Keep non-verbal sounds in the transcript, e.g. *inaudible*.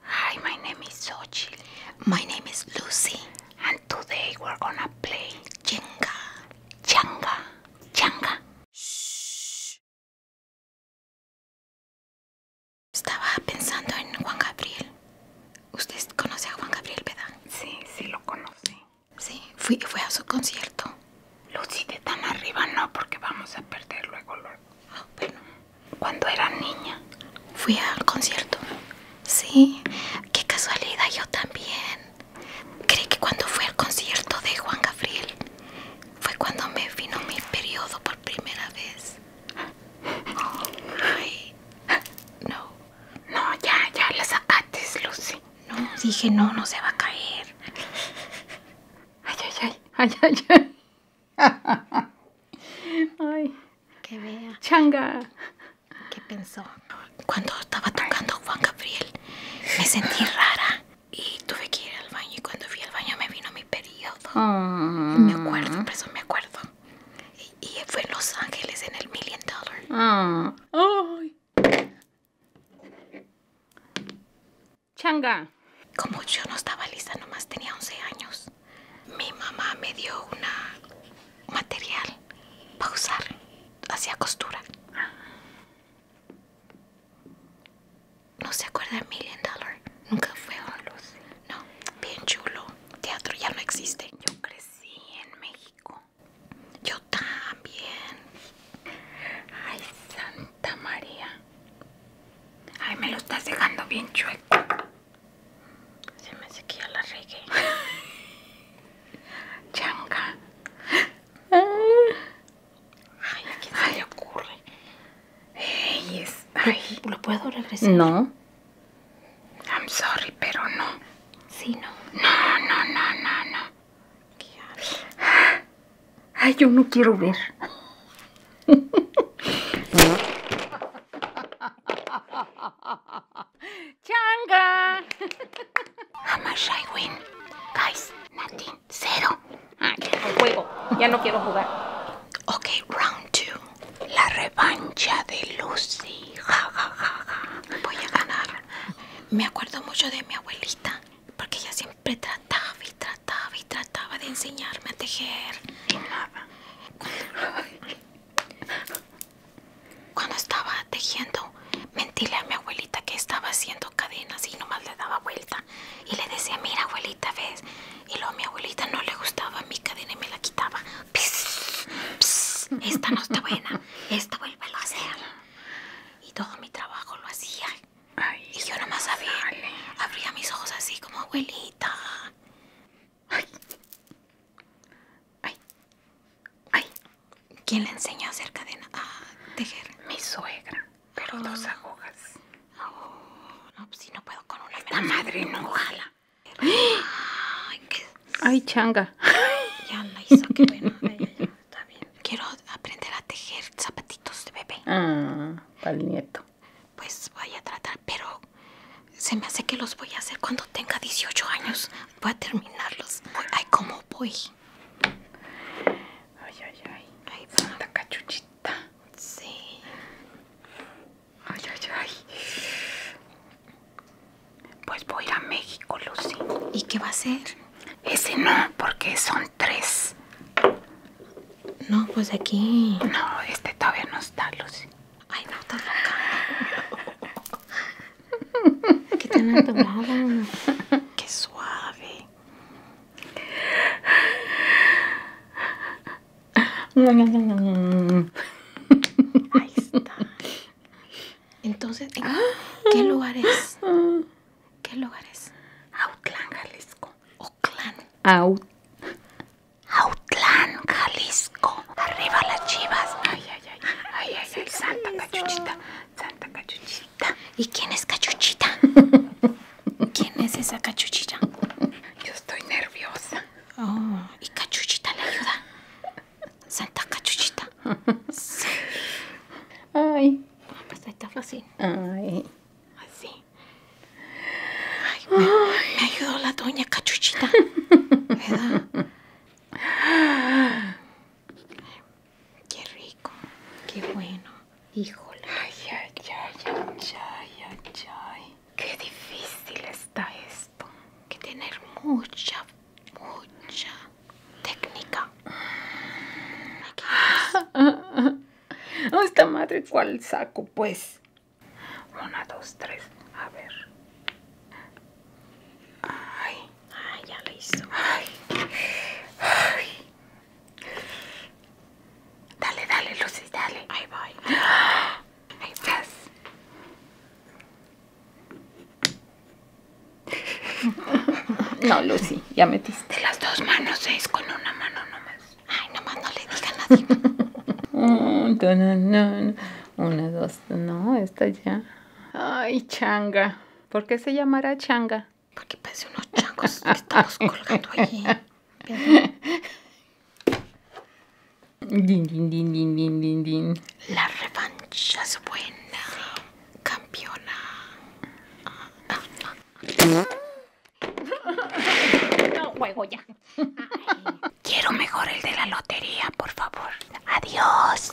Hi, my name is Sochi. My name is Lucy. And today we're gonna play Jenga. Jenga. Jenga. Estaba pensando en Juan Gabriel. Usted conoce a Juan Gabriel, ¿verdad? Sí, sí lo conocí. Sí, fui, fue a su concierto. Lucy, de tan arriba no, porque vamos a perder luego. Bueno, cuando era niña fui al concierto. Sí, qué casualidad, yo también. Creí que cuando fue al concierto de Juan Gabriel fue cuando me vino mi periodo por primera vez. Ay, no. No, ya, ya la sacaste, Lucy. No, dije no, no se va a caer. Ay, ay, ay, ay, ay, ay. Ay. Que vea. Changa. ¿Qué pensó? Cuando estaba tocando Juan Gabriel, me sentí rara y tuve que ir al baño. Y cuando fui al baño me vino mi periodo. Me ah. acuerdo, por eso me acuerdo. Y, fue en Los Ángeles, en el Million Dollar. Ah. ay Changa. Como yo no estaba lista, nomás tenía 11 años, mi mamá me dio un material para usar. Hacía costura. ¿No se acuerda de Million Dollar? Nunca fue a luz. No, bien chulo. Teatro ya no existe. Yo crecí en México. Yo también. Ay, Santa María. Ay, me lo estás dejando bien chueco. Se me sequía la regué. *laughs* Changa. Ay, qué se le ocurre? Ey, está. ¿Lo puedo regresar? No. I'm sorry, pero no. Sí, no. No, no, no, no, no. ¿Qué haces? Ay, yo no quiero ver. Changa! How much Guys, nothing. Cero. Ah, ya no juego. Ya no quiero jugar. Ok, round two. La revancha de Lucy. Ja, Voy a ganar. Me acuerdo mucho de mi abuelita, porque ella siempre trataba y trataba trataba y trataba de enseñarme a tejer Cuando, estaba tejiendo, mentíle a mi abuelita que estaba haciendo cadenas y nomás le daba vuelta. Y le decía, mira abuelita, ¿ves? Y luego a mi abuelita no le gustaba mi cadena y me la quitaba. esta no está buena, esta vuelve a hacer. Y todo mi trabajo lo hacía y yo nomás abría mis ojos así como abuelita. ¿Quién le enseñó a hacer cadena? A ah, tejer. Mi suegra. Pero ah. dos agujas. Oh, pues si no puedo con una. La madre no jala. Ay, changa. *laughs* Ya la hizo, qué bueno. *laughs* Está bien. Quiero aprender a tejer zapatitos de bebé. Ah, para el nieto pues voy a tratar, pero se me hace que los voy a hacer cuando tenga 18 años. Voy a terminarlos. Ay, ¿cómo voy? Ay, ay, ay. Ahí cachuchita. Sí. Ay, ay, ay. Pues voy a México, Lucy. ¿Y qué va a hacer? Ese no, porque son tres. No, pues aquí. No, este todavía no está, Lucy. Ay, no, está loca. Qué tan tomado? Qué suave. Ahí está. Entonces, ¿qué ah. lugar es? ¿Qué lugar es? Autlán, Jalisco. Clan. Out. Jalisco. Arriba las chivas. Ay, ay, ay. Ay, ay, ay. Santa Cachuchita. Santa Cachuchita. ¿Y quién es Cachuchita? *laughs* ¿Quién es esa Cachuchita? Yo estoy nerviosa. Ah. ¿y Cachuchita le ayuda? Santa Cachuchita. *laughs* Sí. Ay. a ah, pues está fácil. Ay. Así me, ayudó la doña Cachuchita. ¿Verdad? Qué rico. Qué bueno. Híjole. Ay, ay, ay, ay, ay, Qué difícil está esto. Que tener mucha, mucha técnica. *laughs* esta madre, ¿cuál saco? Pues. Una, dos, tres. A ver. Ay. Ay, ah, ya lo hizo. Ay. Ay. Dale, dale, Lucy, dale. Ahí voy. Ahí estás! No, Lucy, ya metiste las dos manos, es con una mano nomás. Ay, nomás no le diga a nadie. Una, dos, no, esta ya. Ay, changa. ¿Por qué se llamará changa? Porque parece unos changos que estamos colgando allí. *laughs* Ding din, din, din, din, din, din. La revancha es buena, campeona. Ah, no juego ya. *laughs* Quiero mejor el de la lotería, por favor. Adiós.